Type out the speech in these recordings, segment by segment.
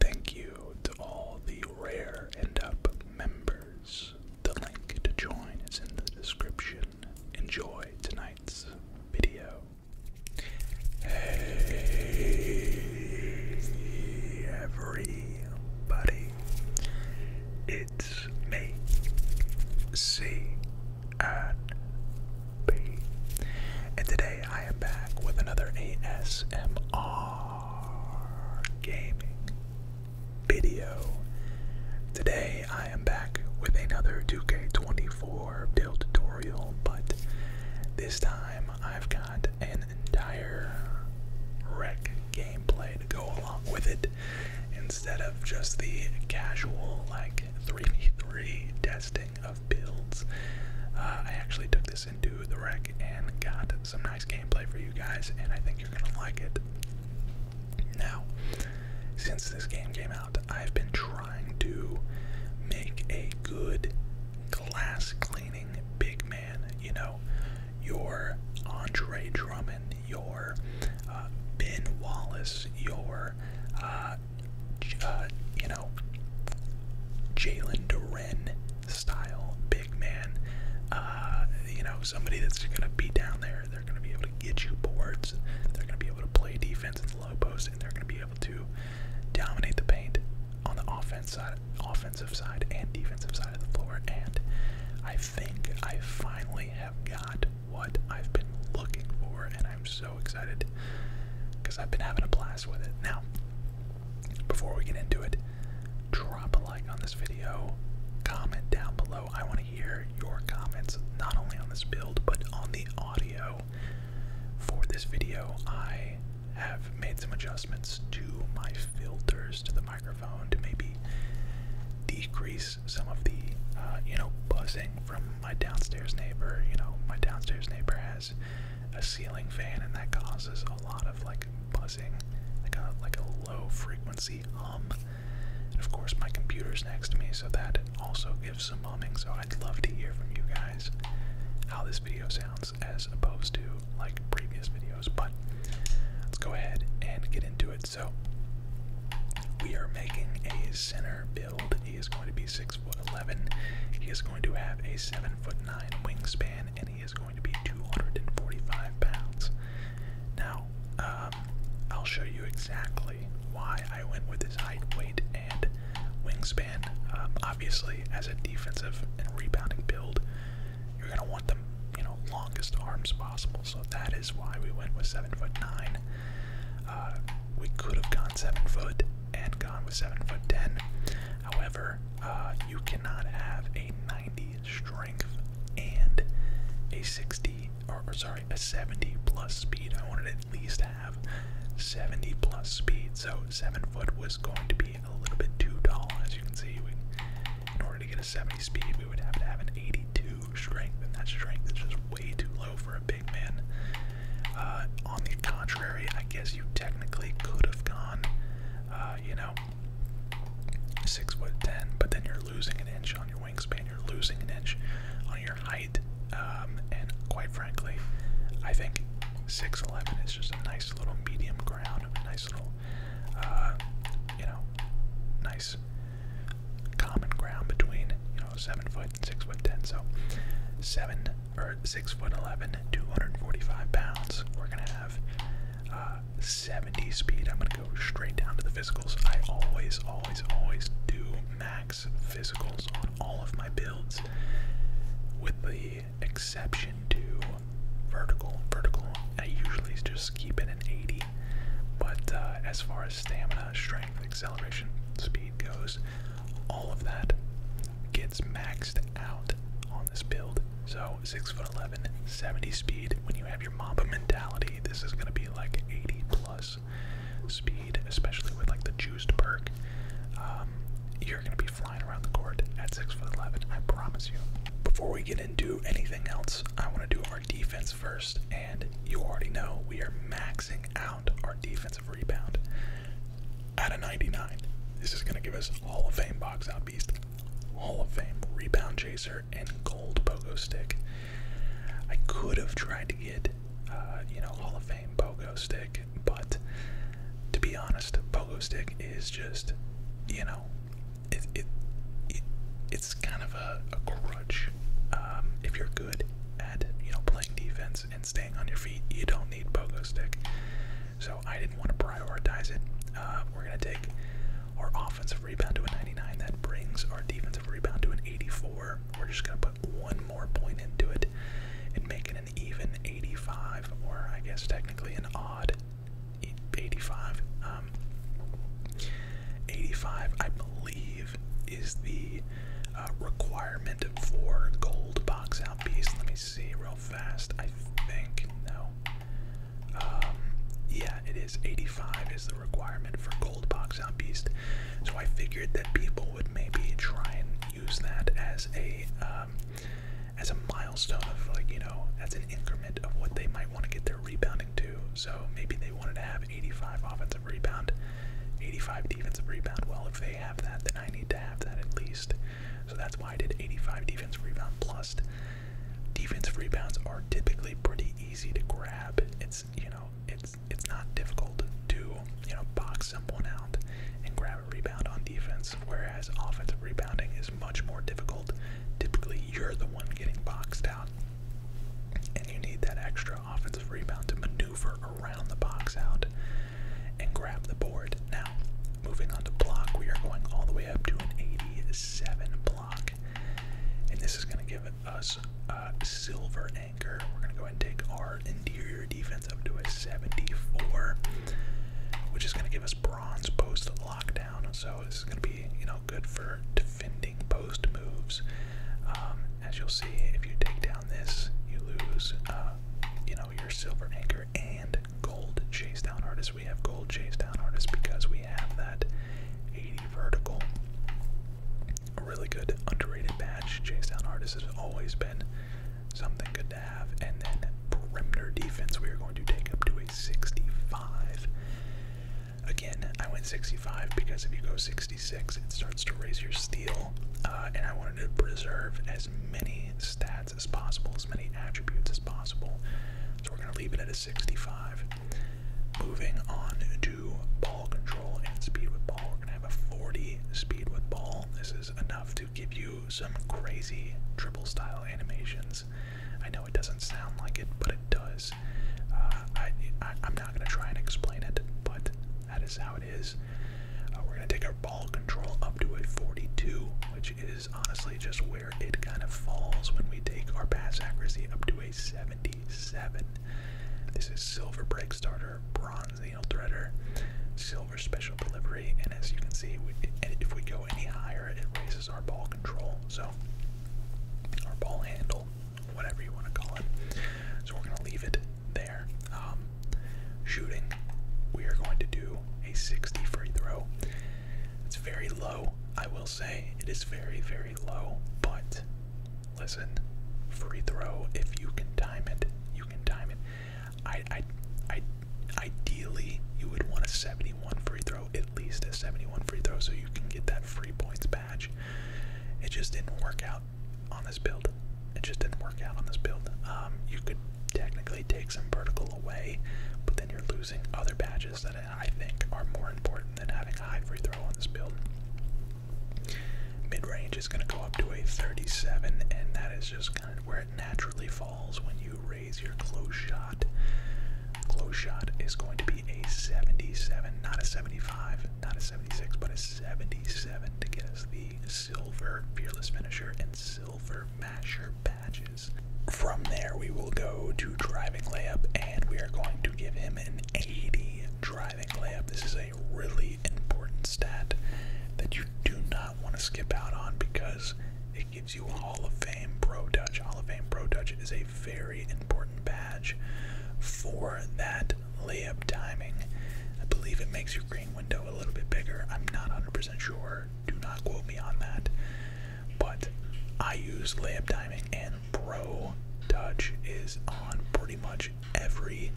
Thank you to all the Rare end Up members. The link to join is in the description. Enjoy tonight's video. Hey, everybody. It's me, C and B. And today I am back with another ASMR VR gaming video. Today I am back with another 2K24 build tutorial, but this time I've got an entire wreck gameplay to go along with it instead of just the casual like 3v3 testing of builds. Uh, I actually took this this into the wreck and got some nice gameplay for you guys, and I think you're gonna like it. Now, since this game came out, I've been trying to make a good glass cleaning big man. You know, your Andre Drummond, your uh, Ben Wallace, your uh, uh, you know, Jalen Duren, style big man. Uh, you know, somebody that's going to be down there. They're going to be able to get you boards. They're going to be able to play defense in the low post, and they're going to be able to dominate the paint on the offense side, offensive side, and defensive side of the floor. And I think I finally have got what I've been looking for, and I'm so excited because I've been having a blast with it. Now, before we get into it, drop a like on this video, comment down below. I want to hear your comments not only on this build but on the audio. For this video, I have made some adjustments to my filters to the microphone to maybe decrease some of the uh, you know buzzing from my downstairs neighbor. You know, my downstairs neighbor has a ceiling fan, and that causes a lot of like buzzing, like a like a low frequency hum. And of course, my computer's next to me, so that also gives some humming. So I'd love to hear from you guys how this video sounds as opposed to like previous videos. But let's go ahead and get into it. So we are making a center build. He is going to be six eleven. He is going to have a seven foot nine wingspan, and he is going to be two hundred and forty five pounds. Now, um, I'll show you exactly why I went with his height, weight, and wingspan. Um, obviously, as a defensive and rebounding build, you're gonna want the you know longest arms possible. So that is why we went with seven foot nine. Uh, we could have gone seven foot and gone with seven foot ten. However, uh, you cannot have a 90 strength and a 60, or, sorry, a 70 plus speed. I wanted at least have 70 plus speed, so 7 foot was going to be a little bit too tall. As you can see, in order to get a 70 speed, we would have to have an 82 strength, and that strength is just way too low for a big man. Uh, on the contrary, I guess you technically could have gone, uh, you know, six foot ten, but then you're losing an inch on your wingspan. You're losing an inch on your height, um, and quite frankly, I think six eleven is just a nice little medium ground, a nice little, uh, you know, nice common ground between you know seven foot and six foot ten. So seven or six foot 11, 245 pounds. We're gonna have uh, 70 speed. I'm gonna go straight down to the physicals. I always, always, always do max physicals on all of my builds, with the exception to vertical. Vertical, I usually just keep it an 80. But uh, as far as stamina, strength, acceleration, speed goes, all of that gets maxed out on this build. So 6 foot 11, 70 speed. When you have your Mamba mentality, this is going to be like 80 plus speed, especially with like the juiced perk. Um, you're going to be flying around the court at 6 foot 11, I promise you. Before we get into anything else, I want to do our defense first, and you already know we are maxing out our defensive rebound out of 99. This is going to give us Hall of Fame box out beast, Hall of Fame rebound chaser, and gold pogo stick. I could have tried to get, uh, you know, Hall of Fame pogo stick, but to be honest, pogo stick is just, you know, it it, it's kind of a, a crutch. Um, if you're good at you know playing defense and staying on your feet, you don't need pogo stick. So I didn't want to prioritize it. Uh, we're going to take our offensive rebound to a 99. That brings our defensive rebound to an 84. We're just going to put one more point into it and make it an even 85, or I guess technically an odd 85. Um, 85, I believe, is the uh, requirement for gold box out piece. Let me see real fast, I think. No. Um, yeah, it is. 85 is the requirement for Gold Box on Beast. So I figured that people would maybe try and use that as a um, as a milestone of like you know as an increment of what they might want to get their rebounding to. So maybe they wanted to have 85 offensive rebound, 85 defensive rebound. Well, if they have that, then I need to have that at least. So that's why I did 85 defense rebound plus. Defensive rebounds are typically pretty easy to grab. It's you know it's it's not difficult to you know box someone out and grab a rebound on defense, whereas offensive rebounding is much more difficult. Typically, you're the one getting boxed out, and you need that extra offensive rebound to maneuver around the box out and grab the board. Now, moving on to block, we are going all the way up to an 87 block. And this is going to give us a silver anchor. We're going to go and take our interior defense up to a 74, which is going to give us bronze post lockdown. So this is going to be, you know, good for defending post moves. Um, as you'll see, if you take down this, you lose, uh, you know, your silver anchor and gold chase down artist. We have gold chase down artist because we have that 80 vertical. really good underrated badge. Chase down artist has always been something good to have. And then perimeter defense, we are going to take up to a 65. Again, I went 65 because if you go 66, it starts to raise your steel. Uh, and I wanted to preserve as many stats as possible, as many attributes as possible. So we're going to leave it at a 65. Moving on to ball control and speed with ball, we're going to have a 40 speed with ball. This is enough to give you some crazy triple style animations. I know it doesn't sound like it, but it does. Uh, I'm not going to try and explain it, but that is how it is. Uh, we're going to take our ball control up to a 42, which is honestly just where it kind of falls when we take our pass accuracy up to a 77. This is silver break starter, bronze needle threader, silver special delivery, and as you can see, if we go any higher, it raises our ball control. So, our ball handle, whatever you want to call it. So, we're going to leave it there. Um, shooting, we are going to do a 60 free throw. It's very low, I will say. It is very, very low, but listen, free throw, if you can time it, you can time it. I, I, I, ideally, you would want a 71 free throw, at least a 71 free throw, so you can get that free points badge. It just didn't work out on this build it just didn't work out on this build. Um, you could technically take some vertical away, but then you're losing other badges that I think are more important than having a high free throw on this build. Mid range is going to go up to a 37, and that is just kind of where it naturally falls when you raise your close shot. Close shot is going to be a 77, not a 75, not a 76, but a 77 to get us the Silver Fearless Finisher and Silver Masher badges. From there, we will go to Driving Layup, and we are going to give him an 80 Driving Layup. This is a really important stat that you do not want to skip out on because it gives you Hall of Fame Pro Touch. Hall of Fame Pro Touch is a very important badge for that layup timing. I believe it makes you window a little bit bigger. I'm not 100% sure. Do not quote me on that. But I use layup timing, and Pro Touch is on pretty much every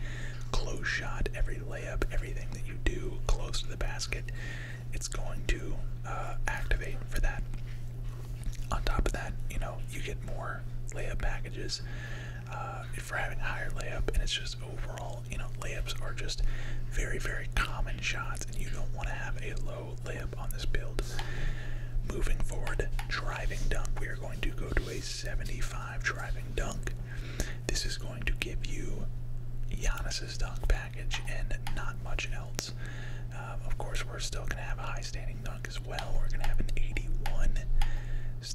close shot, every layup, everything that you do close to the basket. It's going to uh, activate for that. On top of that, you know, you get more layup packages. Uh, for having a higher layup, and it's just overall, you know, layups are just very, very common shots, and you don't want to have a low layup on this build. Moving forward, driving dunk. We are going to go to a 75 driving dunk. This is going to give you Giannis's dunk package and not much else. Um, of course, we're still going to have a high standing dunk as well. We're going to have an 81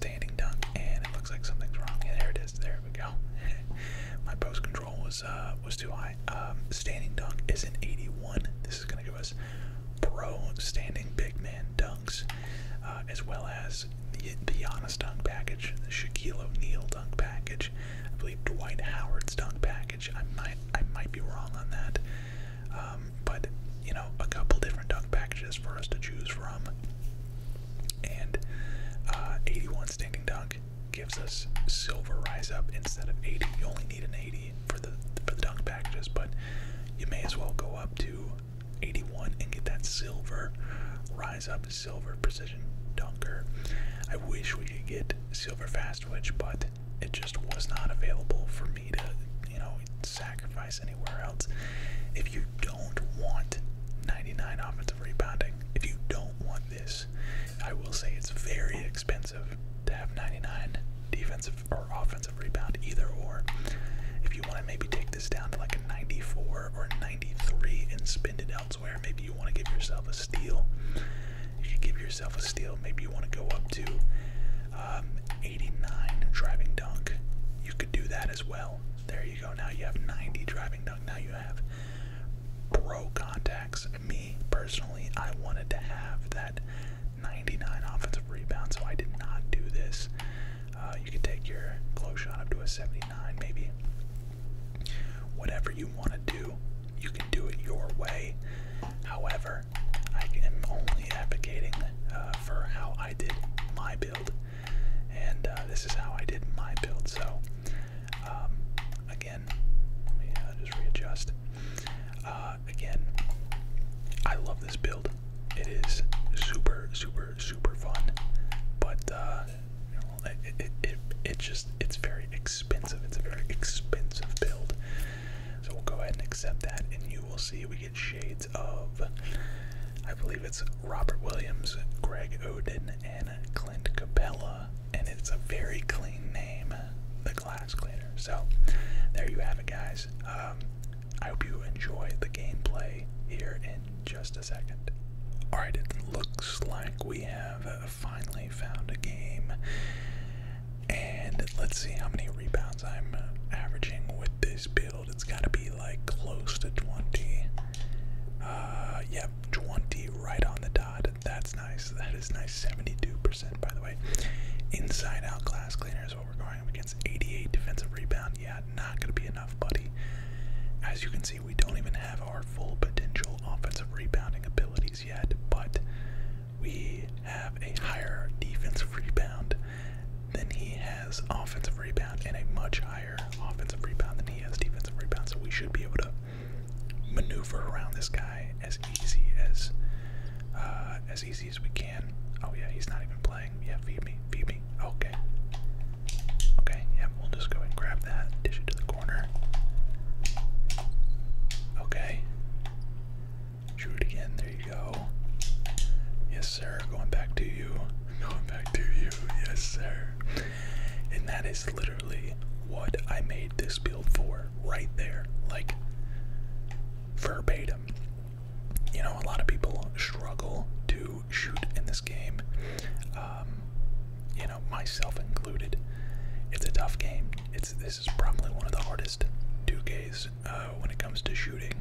standing dunk, and it looks like something's wrong. Yeah, there it is. There we go. My post control was uh, was too high. Um, standing dunk is an 81. This is going to give us pro standing big man dunks, uh, as well as the the Giannis dunk package, the Shaquille O'Neal dunk package. I believe Dwight Howard's dunk package. I might I might be wrong on that, um, but you know a couple different dunk packages for us to choose from. And uh, 81 standing dunk gives us silver rise up instead of 80. You only need an 80 for the for the dunk packages, but you may as well go up to 81 and get that silver rise up silver precision dunker. I wish we could get silver fast switch, but it just was not available for me to, you know, sacrifice anywhere else. If you don't don't want 99 offensive rebounding, if you don't want this, I will say it's very expensive to have 99 defensive or offensive rebound, either or. If you want to maybe take this down to like a 94 or 93 and spend it elsewhere, maybe you want to give yourself a steal. If you give yourself a steal, maybe you want to go up to um, 89 driving dunk. You could do that as well. There you go. Now you have 90 driving dunk. Now you have pro contacts. Me personally, I wanted to have that 99 offensive rebound, so I did not do this. Uh, you could take your close shot up to a 79, maybe. Whatever you want to do, you can do it your way. However, I am only advocating uh, for how I did my build and uh, this is how I did my build. So, um, again, let me uh, just readjust. Uh, again, I love this build. It is super, super, super fun, but it just it's very expensive. It's a very expensive build. So we'll go ahead and accept that, and you will see we get shades of, I believe it's Robert Williams, Greg Odin, and Clint Capella, and it's a very clean name, the glass cleaner. So there you have it, guys. Um, I hope you enjoy the gameplay here in just a second. Alright, it looks like we have finally found a game. And let's see how many rebounds I'm averaging with this build. It's got to be like close to 20. Uh, yep, 20 right on the dot. That's nice. That is nice. 72%, by the way. Inside out glass cleaner is what we're going up against. 88 defensive rebound. Yeah, not going to be enough, buddy. As you can see, we don't even have our full potential offensive rebounding abilities yet, but we have a higher defensive rebound than he has has offensive rebound and a much higher offensive rebound than he has defensive rebounds, so we should be able to maneuver around this guy as easy as uh, as easy as we can. Oh yeah, he's not even playing. Yeah, feed me, feed me. Okay. Okay, yeah, we'll just go and grab that, dish it to the corner. Okay. Shoot it again, there you go. Yes, sir, going back to you back to you, yes, sir. And that is literally what I made this build for, right there, like verbatim. You know, a lot of people struggle to shoot in this game, um, you know, myself included. It's a tough game. It's this is probably one of the hardest 2Ks uh, when it comes to shooting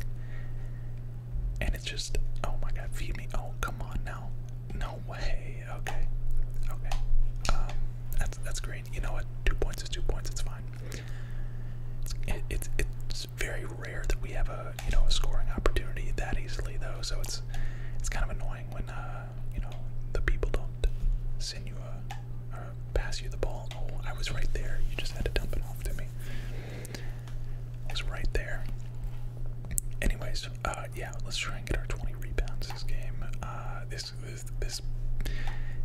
and it's just oh my god feed me oh come on now no way okay okay um, that's that's great you know what two points is two points it's fine it's it's it's very rare that we have a you know a scoring opportunity that easily though so it's it's kind of annoying when uh you know the people don't send you a pass you the ball oh I was right there you just had to dump it off to me was right there. Anyways, uh, yeah, let's try and get our 20 rebounds this game. Uh, this this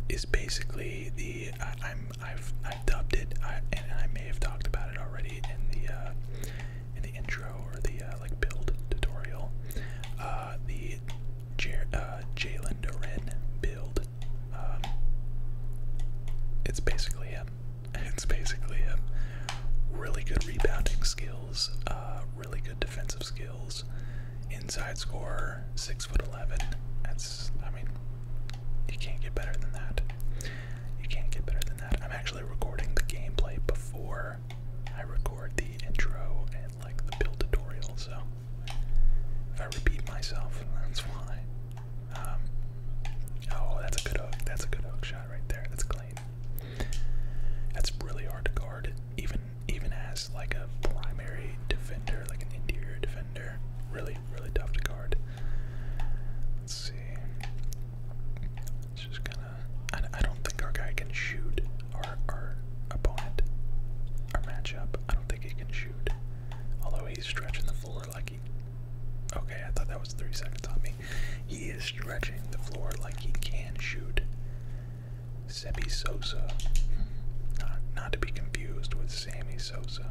is basically the uh, I, am I've i dubbed it, and I may have talked about it already in the in the intro or the like build tutorial. the Jer uh, build. Um, it's basically him. It's basically a Really good rebounding skills, uh, really good defensive skills. Inside scorer, six foot eleven. That's I mean, you can't get better than that. You can't get better than that. I'm actually recording the gameplay before I record the intro and like the build tutorial, so I repeat myself, that's why. Um, oh, that's a good hook. That's a good hook shot right there. That's clean. That's really hard to guard, even even as like a primary defender, like an interior defender. Really, really tough to guard. Let's see. It's just kind of. I, I don't think our guy can shoot. Our our opponent, our matchup. I don't think he can shoot. Although he's stretching the floor like he. Okay, I thought that was three seconds on me. He is stretching the floor like he can shoot. Sebi Sosa, not, not to be confused with Sammy Sosa.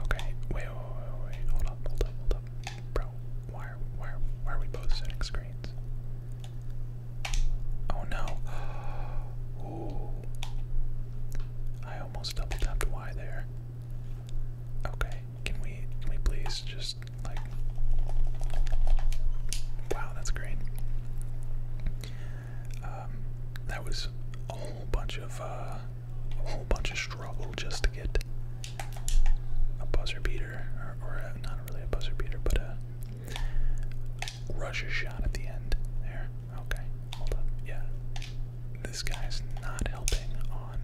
Okay, wait, wait, wait, hold up, hold up, hold up, bro. Why are why are, we both setting screens? Oh no! Oh, I almost double tapped Y there. Okay, can we can we please just like Wow, that's great. Um that was a whole bunch of uh, a whole bunch of struggle just to get a buzzer beater or, not really a buzzer beater, but a Russia shot at the end there. Okay, hold up. Yeah. This guy's not helping on.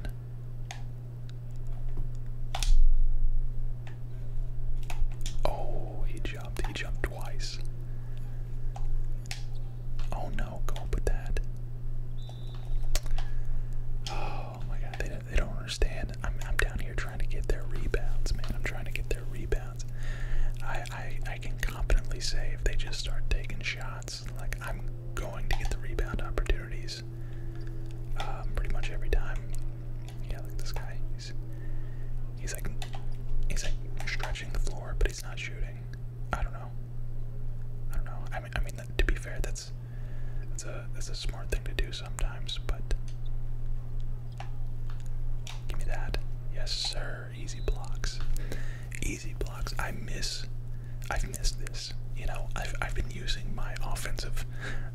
Oh, he jumped. He jumped twice. Oh no, go up with that. Oh my god, they, they don't understand. I'm, I'm down here trying to get their rebounds, man. I'm trying to get their rebounds. I, I, I can confidently say if they just start taking shots. Like I'm going to get the rebound opportunities um, pretty much every time. Yeah, like this guy. He's he's like he's like stretching the floor, but he's not shooting. I don't know. I don't know. I mean, I mean to be fair, that's that's a that's a smart thing to do sometimes. But give me that. Yes, sir. Easy blocks. Easy blocks. I miss I've missed this. You know, I've I've been using my offensive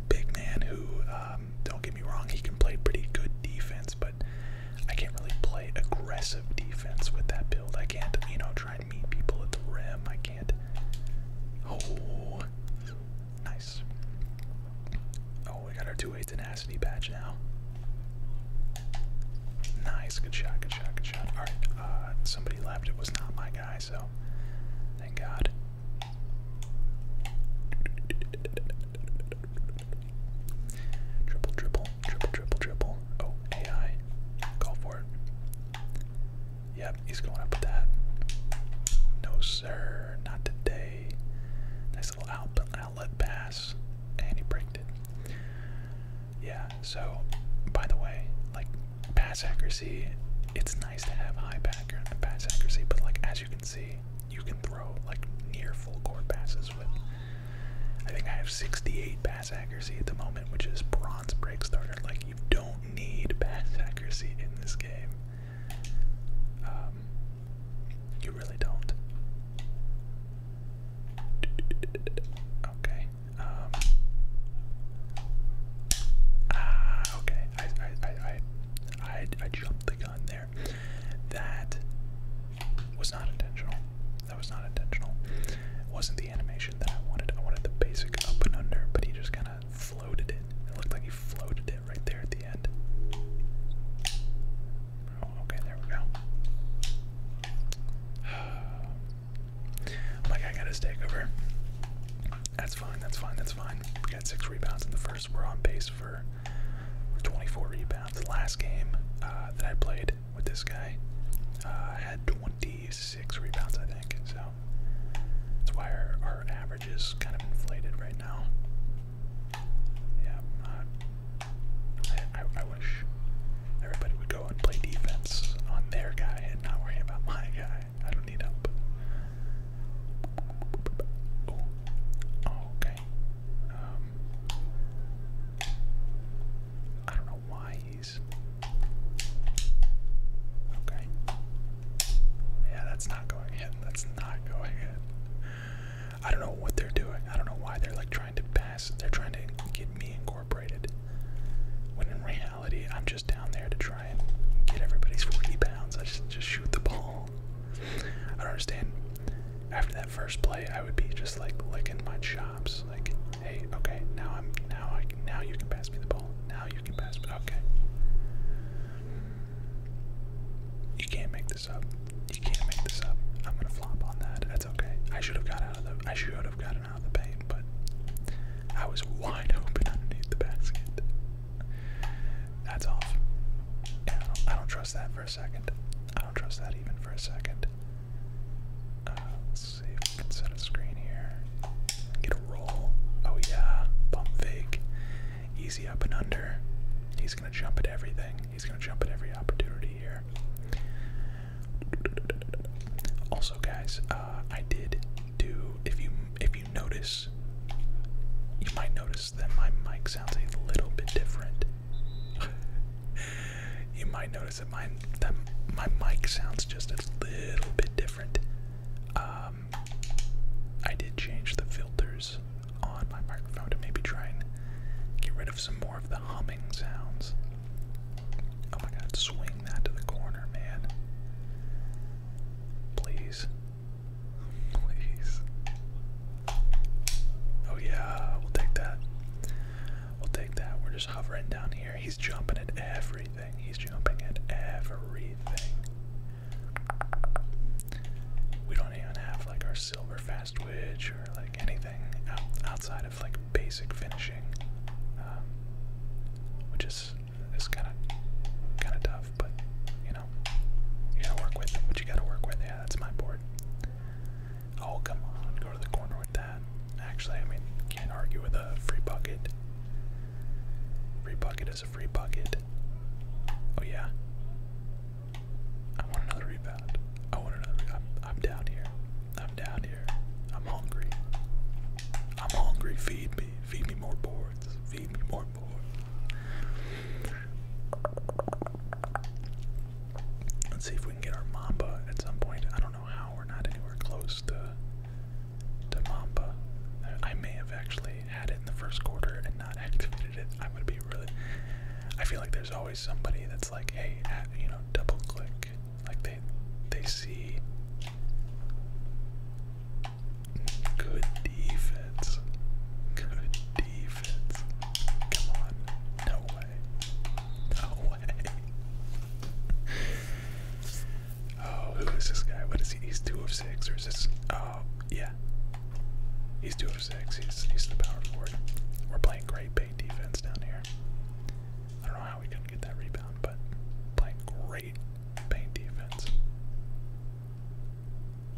big man who, um, don't get me wrong, he can play pretty good defense, but I can't really play aggressive defense with that build. I can't, you know, try and meet people at the rim. I can't. Oh, nice. Oh, we got our two-way tenacity patch now. Nice, good shot, good shot, good shot. Alright, uh, somebody left. It was not my guy, so thank God. Triple, triple, triple, triple, triple. Oh, AI. Call for it. Yep, he's going up with that. No, sir, not today. Nice little outlet pass. And he bricked it. Yeah, so by the way, like pass accuracy, it's nice to have high pass accuracy, but like as you can see, you can throw like near full court passes with I think I have 68 pass accuracy at the moment, which is bronze break starter. Like you don't need pass accuracy in this game. Um, you really don't. Okay. Um. Ah. Okay. I. I. I. I. I jumped the gun there. That was not intentional. That was not intentional. It wasn't the animation that I wanted. I wanted the basic up and under, but he just kind of floated it. It looked like he floated it right there at the end. Oh, okay, there we go. Um, like I got his takeover. That's fine. That's fine. That's fine. We got six rebounds in the first. We're on pace for 24 rebounds. last game uh, that I played with this guy I uh, had 26 rebounds, I think. So that's why our, our average is kind of inflated right now. Yeah, Everybody would go and play defense on their guy and not worry about my guy. I don't need help. Oh, oh okay. Um, I don't know why he's. Okay. Yeah, that's not going in. That's not going in. I don't know what they're doing. I don't know why they're like trying to pass. They're trying to get me in when in reality, I'm just down there to try and get everybody's 40 pounds. I just, just shoot the ball. I don't understand. After that first play, I would be just like licking my chops. Like, hey, okay, now I'm now I now you can pass me the ball. Now you can pass me. Okay. You can't make this up. You can't make this up. I'm gonna flop on that. That's okay. I should have got out of the. I should have got don't the paint, but I was wide open underneath the basket. That's off. I don't, trust that for a second. I don't trust that even for a second. Uh, let's see if we can set a screen here. Get a roll. Oh yeah, bump fake. Easy up and under. He's gonna jump at everything. He's gonna jump at every opportunity here. Also, guys, uh, I did do. If you if you notice, you might notice that my mic sounds a little bit different. you might notice that my that my mic sounds just a little bit different. Um, I did change the filters on my microphone to maybe try and get rid of some more of the humming sounds. Oh my god, swing that to the corner, man. Please. Please. Oh yeah, we'll take that. We'll take that. We're just hovering down here. He's jumping at everything. He's jumping at everything. We don't even have like our silver fast twitch or like anything outside like basic finishing, um, which is is kind of kind of tough. But you know, you gotta work with what you gotta work with. Yeah, that's my board. Oh come on, go to the corner with that. Actually, I mean, can't argue with a free bucket. Free bucket is a free bucket. Oh yeah. I want another rebound. I want another. I'm, down here. I'm down here. I'm hungry. I'm hungry. Feed me. Feed me more boards. Feed me more boards. Let's see if we can get our Mamba at some point. I don't know how. We're not anywhere close to to Mamba. I may have actually had it in the first quarter and not activated it. I'm gonna be really. I feel like there's always somebody that's like, hey, you know, double click like they they see good defense. Good defense. Come on. No way. No way. oh, who is this guy? What is he? He's two of six, or is this oh yeah. He's two of six. He's he's the power forward. We're playing great paint defense down here. I don't know how we couldn't get that rebound, but playing great paint defense.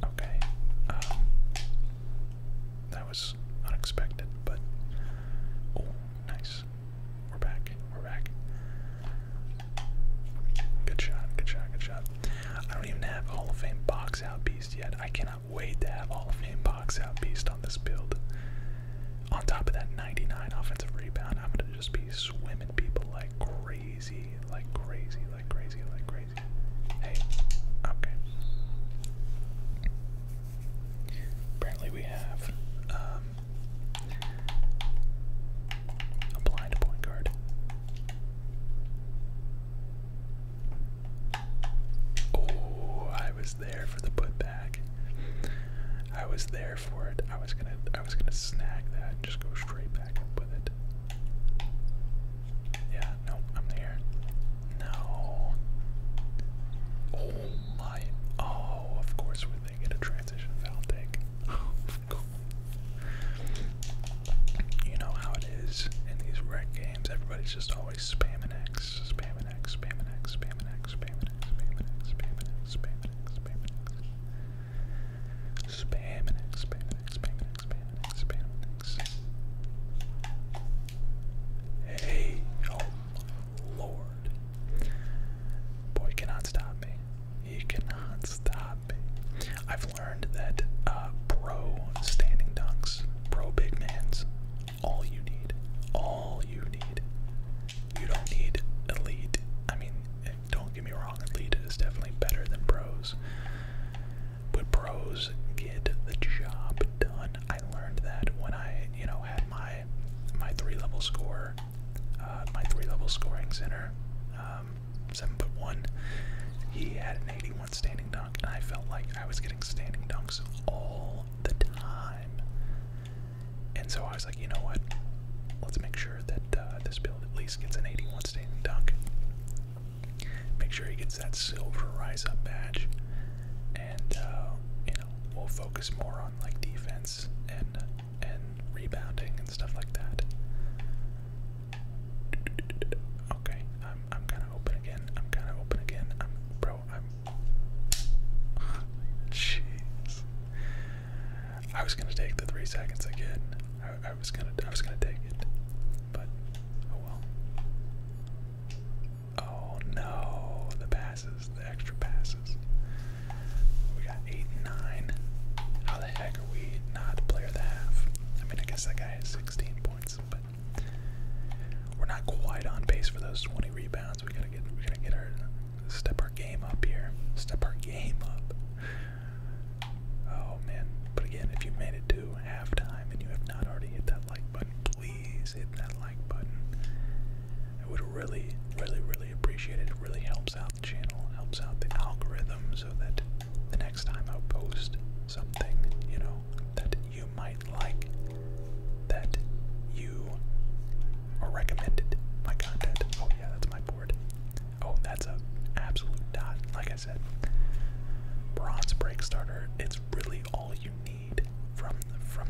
Okay. Um, that was unexpected, but oh, nice. We're back. We're back. Good shot. Good shot. Good shot. I don't even have Hall of Fame box out beast yet. I cannot wait to have Hall of Fame out beast on this build. On top of that 99 offensive rebound, I'm gonna just be swimming people like crazy, like crazy, like crazy, like crazy. Hey, okay. Apparently we have um, a blind point guard. Oh, I was there for the putback. I was there for it. I was gonna I was gonna snag that and just go straight back up with it. Yeah, nope, I'm there. No. Oh my oh, of course we're making a transition foul take. Oh You know how it is in these rec games, everybody's just always spamming X, spamming an X, spam an X, spam an X, spam an X, spam an X, spam an X, spam an X, spam an X. Spam an X, spam an X, spam an X, spam an X, spam an X. Hey, oh lord. Boy cannot stop me. He cannot stop me. I've learned that uh, pro standing dunks, pro big mans all you need. All you need. You don't need elite. I mean, eh, don't get me wrong, elite is definitely better than pros. But pros get the job done. I learned that when I, you know, had my my three level score, uh, my three level scoring center, um, seven foot one. He had an 81 standing dunk, and I felt like I was getting standing dunks all the time. And so I was like, you know what? Let's make sure that uh, this build at least gets an 81 standing dunk. Make sure he gets that silver rise up badge, and uh, you know we'll focus more on like defense and uh, and rebounding and stuff like that. Okay, I'm I'm kind of open again. I'm kind of open again. I'm bro. I'm Jeez. I was gonna take the three seconds again. I, was gonna I was gonna take it. But oh well. Oh no, the passes, the extra passes. We got eight and nine. How the heck are we not player of the half? I mean I guess that guy has sixteen points, but we're not quite on pace for those 20 rebounds. We gotta get, we gotta get our step our game up here. Step our game up. Oh man! But again, if you made it to halftime and you have not already hit that like button, please hit that like button. I would really, really, really appreciate it. It really helps out the channel, helps out the algorithm, so that the next time I post something, you know, that you might like, that you are recommended my content. Oh yeah, that's my board. Oh, that's a absolute dot. Like I said, bronze break starter. It's really all you need from from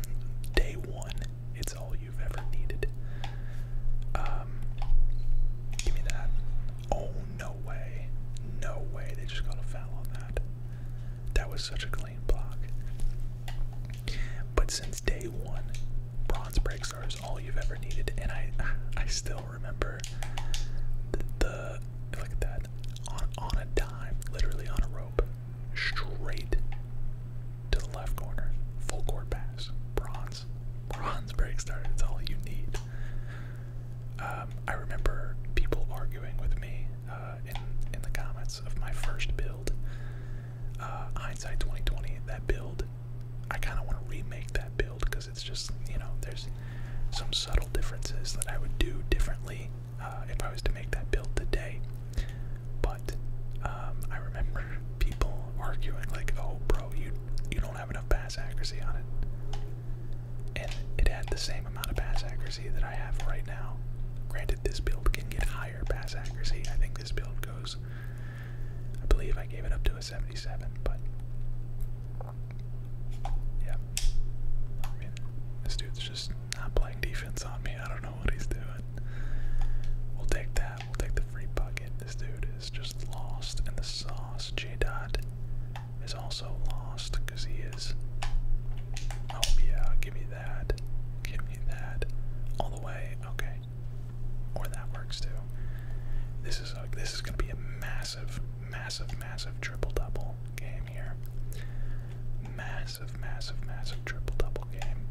day one. It's all you've ever needed. Um, give me that. Oh no way, no way. They just got a foul on that. That was such a but since day one, bronze break star is all you've ever needed, and I I still remember the, the look at that on on a dime, literally on a rope, straight to the left corner, full court pass, bronze, bronze break star. It's all you need. Um, I remember people arguing with me uh, in in the comments of my first build, uh, hindsight 2020. That build, I kind of want to remake that build because it's just you know there's some subtle differences that I would do differently uh, if I was to make that build today. But um, I remember people arguing like, "Oh, bro, you you don't have enough pass accuracy on it," and it had the same amount of pass accuracy that I have right now. Granted, this build can get higher pass accuracy. I think this build goes, I believe I gave it up to a 77, but yeah. this dude's just not playing defense on me. I don't know what he's doing. We'll take that. We'll take the free bucket. This dude is just lost and the sauce. J Dot is also lost because he is. Oh, yeah, give me Give me that. All the way. Okay. Or that works too. This is this is going to be a massive, massive, massive triple double game here. Massive, massive, massive triple double game.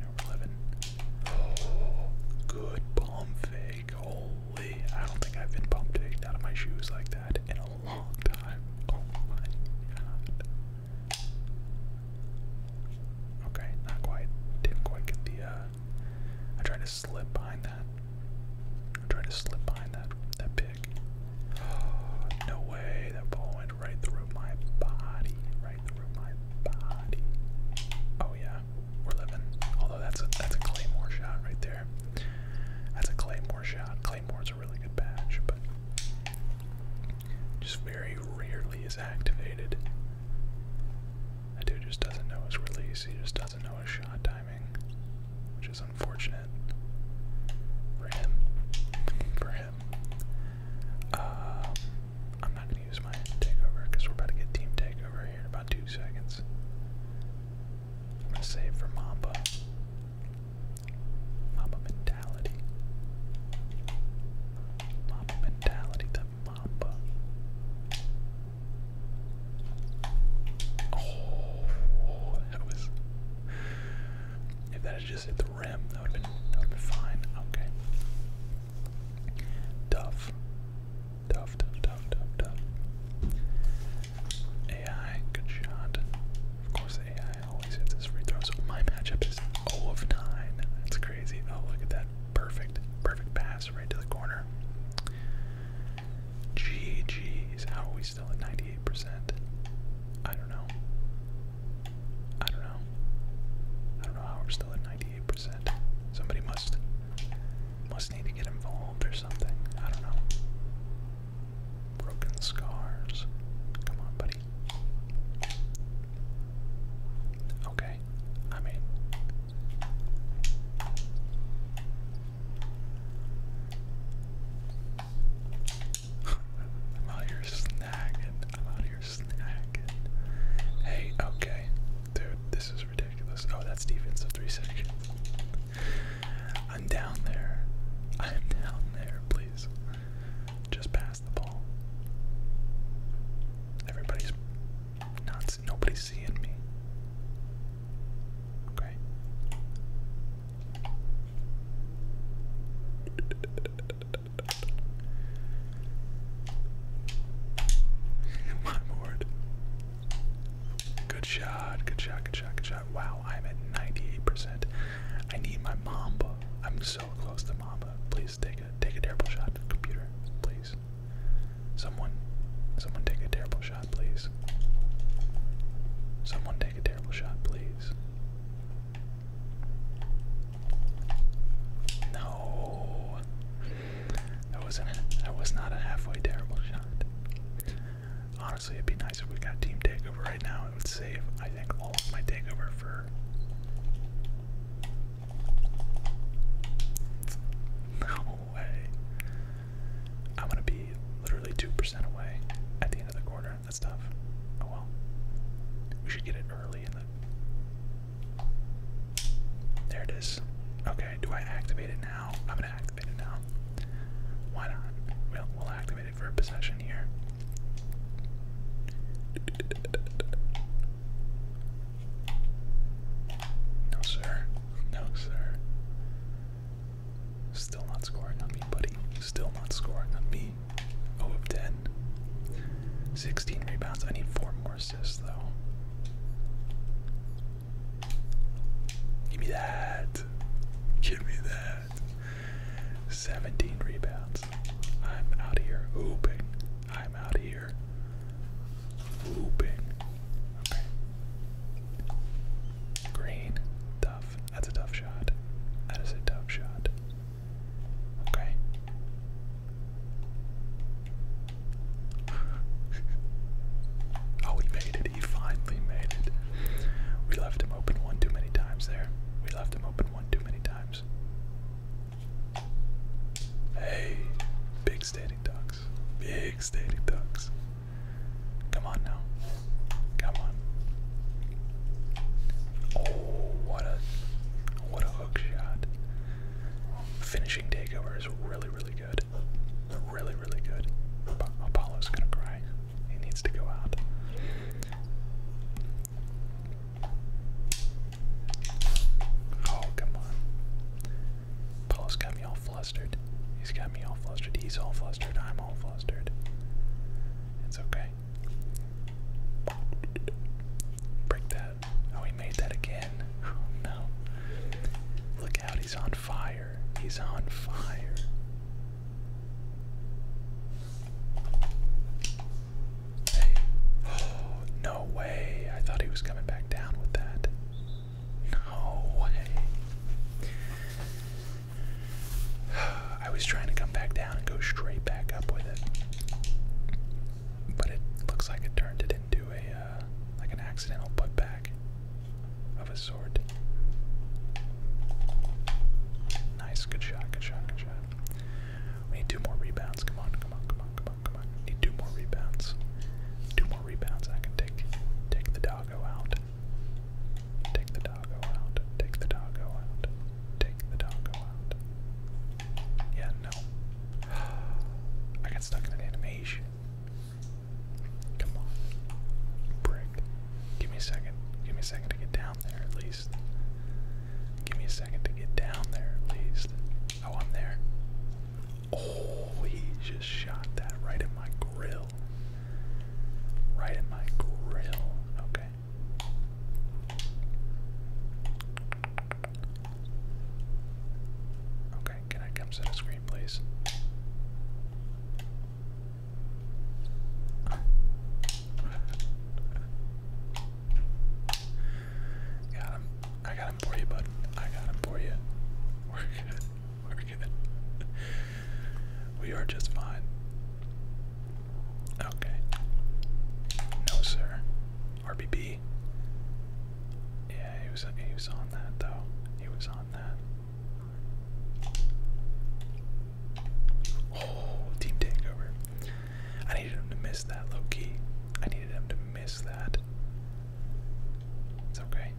Now we Oh, good pump fake. Holy! I don't think I've been pump faked out of my shoes like that in a long time. Oh my god. Okay, not quite. Didn't quite get the, uh, I tried to slip behind that. I tried to slip behind that, that pig. Oh, no way, that ball went right through my body, right through my body. Oh yeah, we're living. Although that's a, that's a Claymore shot right there. That's a Claymore shot. Claymore a really good patch, but just very rarely is activated. That dude just doesn't know his release, he just doesn't know his shot timing, which is unfortunate for him. For him. Um, I'm not going to use my takeover because we're about to get team takeover here in about two seconds. I'm going to save for Mamba. Mama mentality. Mama mentality, the Mamba. Oh, that was. If that had just hit the rim, that would have been, that would have fine. Okay. Duff. Duff, duff, duff, duff, duff. AI, good shot. Of course, AI always hits his free throws. So my matchup is 0 of 9. That's crazy. Oh, look at that. Perfect. Perfect pass right to the corner. GG's. How are we still at 98%? I don't know. I don't know. I don't know how we're still at 98%. Somebody must must need to get involved or something. I don't know. Broken scars. Come on, buddy. Okay, I mean. I'm out here snagging. I'm out here snagging. Hey, okay. Dude, this is ridiculous. Oh, that's defensive three seconds. I'm down there. I'm down there, please. Just pass the ball. Everybody's not, nobody's seeing me. Okay. My lord. Good shot, good shot, good shot, good shot. Wow, I'm at 98%. I need my Mamba. I'm so close to Mamba. Please take a take a terrible shot, computer. Please. Someone someone take a terrible shot, please. Someone take a terrible shot, please. No. That wasn't that was not a halfway terrible shot. Honestly, it'd be nice if we got team takeover right now. It would save, I think, all of my takeover for. No way. I'm gonna be literally 2% away at the end of the quarter. That's tough. Oh well. We should get it early There it is. Okay, do I activate it now? I'm gonna activate it now. Why not? We'll, we'll activate for a possession here. No, sir. No, sir. Still not scoring on me, buddy. Still not scoring on me. 0 of 10. 16 rebounds. I need four more assists, though. Give me that. Give me that. 17 rebounds. I'm out here hooping. I'm out here hooping. Okay. Green. Tough. That's a tough shot. That is a tough shot. Okay. oh, he made it. He finally made it. We left him open one too many times there. We left him open one too many times. Hey, big standing ducks. Big standing ducks. Come on now. Come on. Oh, what a what a hook shot. Finishing takeover is really, really good. Really, really good. Apollo's gonna cry. He needs to go out. Oh, come on. Paul's got me all flustered. He's got me all flustered. He's all flustered. I'm all flustered. It's okay. Break that. Oh, he made that again. Oh, no. Look out, he's on fire. He's on fire. no way. I thought he was coming back down with that. No way. I was trying to come back down and go straight back up with it. But it looks like it turned it into a uh, like an accidental putback of a sort. Nice, good shot, good shot, good shot. We need two more rebounds. Come on, come on, come on, come on, come on. need two more rebounds. Two more rebounds. I can take take the doggo out. Take the doggo out. Take the doggo out. Take the doggo out. Yeah, no. I got stuck in an animation. Come on. Brick. Give me a second. Give me a second to get down there at least. Give me a second to get down there at least. Oh, I'm there. Oh, he just shot that right in my grill. Right in my grill. Okay. Okay, can I come set a screen, please? Got him. I got him for you, bud. I got him for you. We're good. We're good. We are just fine. Okay. No, sir. RBB. Yeah, he was he was on that though. He was on that. Oh, team takeover. I needed him to miss that, low key. I needed him to miss that. It's okay.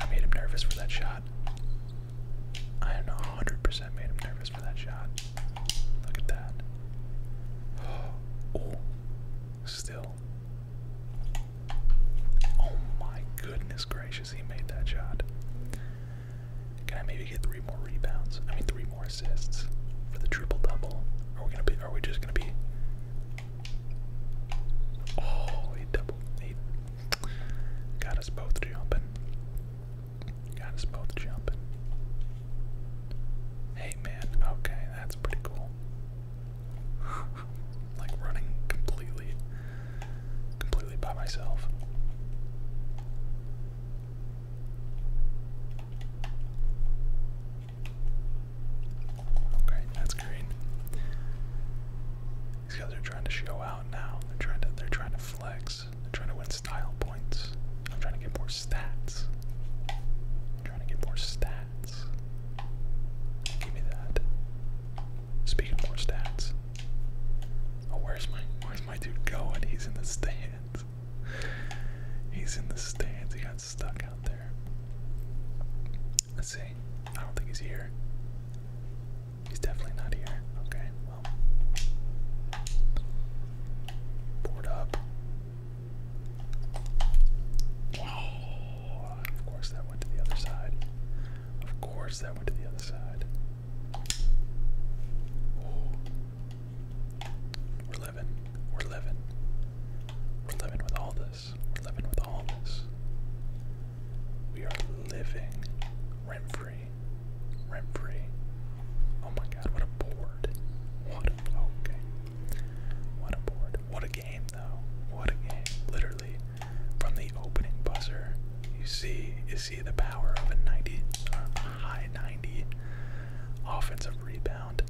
I made him nervous for that shot. I am 100% made him nervous for that shot. Look at that. Oh, still. Oh my goodness gracious, he made that shot. Can I maybe get three more rebounds? I mean three more assists for the triple double. Are we gonna be are we just gonna be Oh he double he got us both jumping. Got us both jumping. Hey man, okay, that's pretty cool. like running completely completely by myself. Okay, that's green. These guys are trying to show out now. They're trying to they're trying to flex. They're trying to win style points. I'm trying to get more stats. I'm trying to get more stats. Give me that. Speaking of more stats. Oh, where's my where's my dude going? He's in the stands. He's in the stands. He got stuck out there. Let's see. I don't think he's here. He's definitely not here. Okay, well. Board up of course that went to the other side. Of course that went to the other side. We're living. We're living. We're living with all this. We're living with all this. We are living rent free. Rent free. Oh my god, what a board. What a okay. What a board. What a what a game. Literally, from the opening buzzer, you see you see the power of a 90, um, high 90 offensive rebound.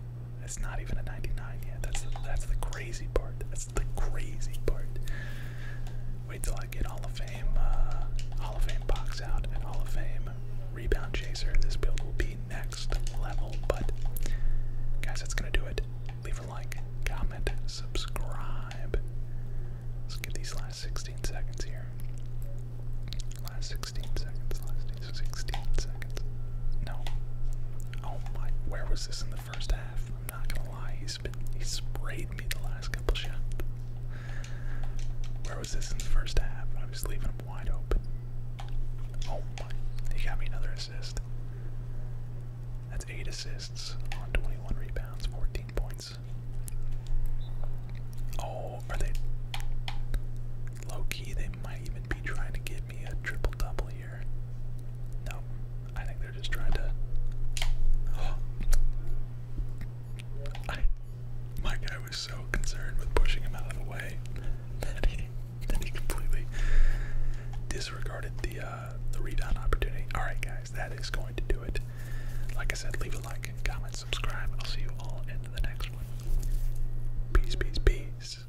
It's not even a 99 yet. That's the, that's the crazy part. That's the crazy part. Wait till I get Hall of Fame, uh, Hall of Fame box out and Hall of Fame rebound chaser. This build will be next level, but guys, that's gonna do it leave a like, comment, subscribe. Let's get these last 16 seconds here. Last 16 seconds, last 16 seconds. No. Oh my, where was this in the first half? I'm not gonna lie, he's been, he sprayed me the last couple shots. Where was this in the first half? I was leaving him wide open. Oh my, he got me another assist. That's 8 assists on 21 rebounds, 14 points. Oh, are they low key? They might even be trying to give me a triple double here. No, I think they're just trying to. I, my guy was so concerned with pushing him out of the way that he, completely disregarded the uh, uh, the rebound opportunity. All right, guys, that is going to do it. Like I said, leave a like, comment, subscribe. I'll see you all in the next one. Peace, peace, peace.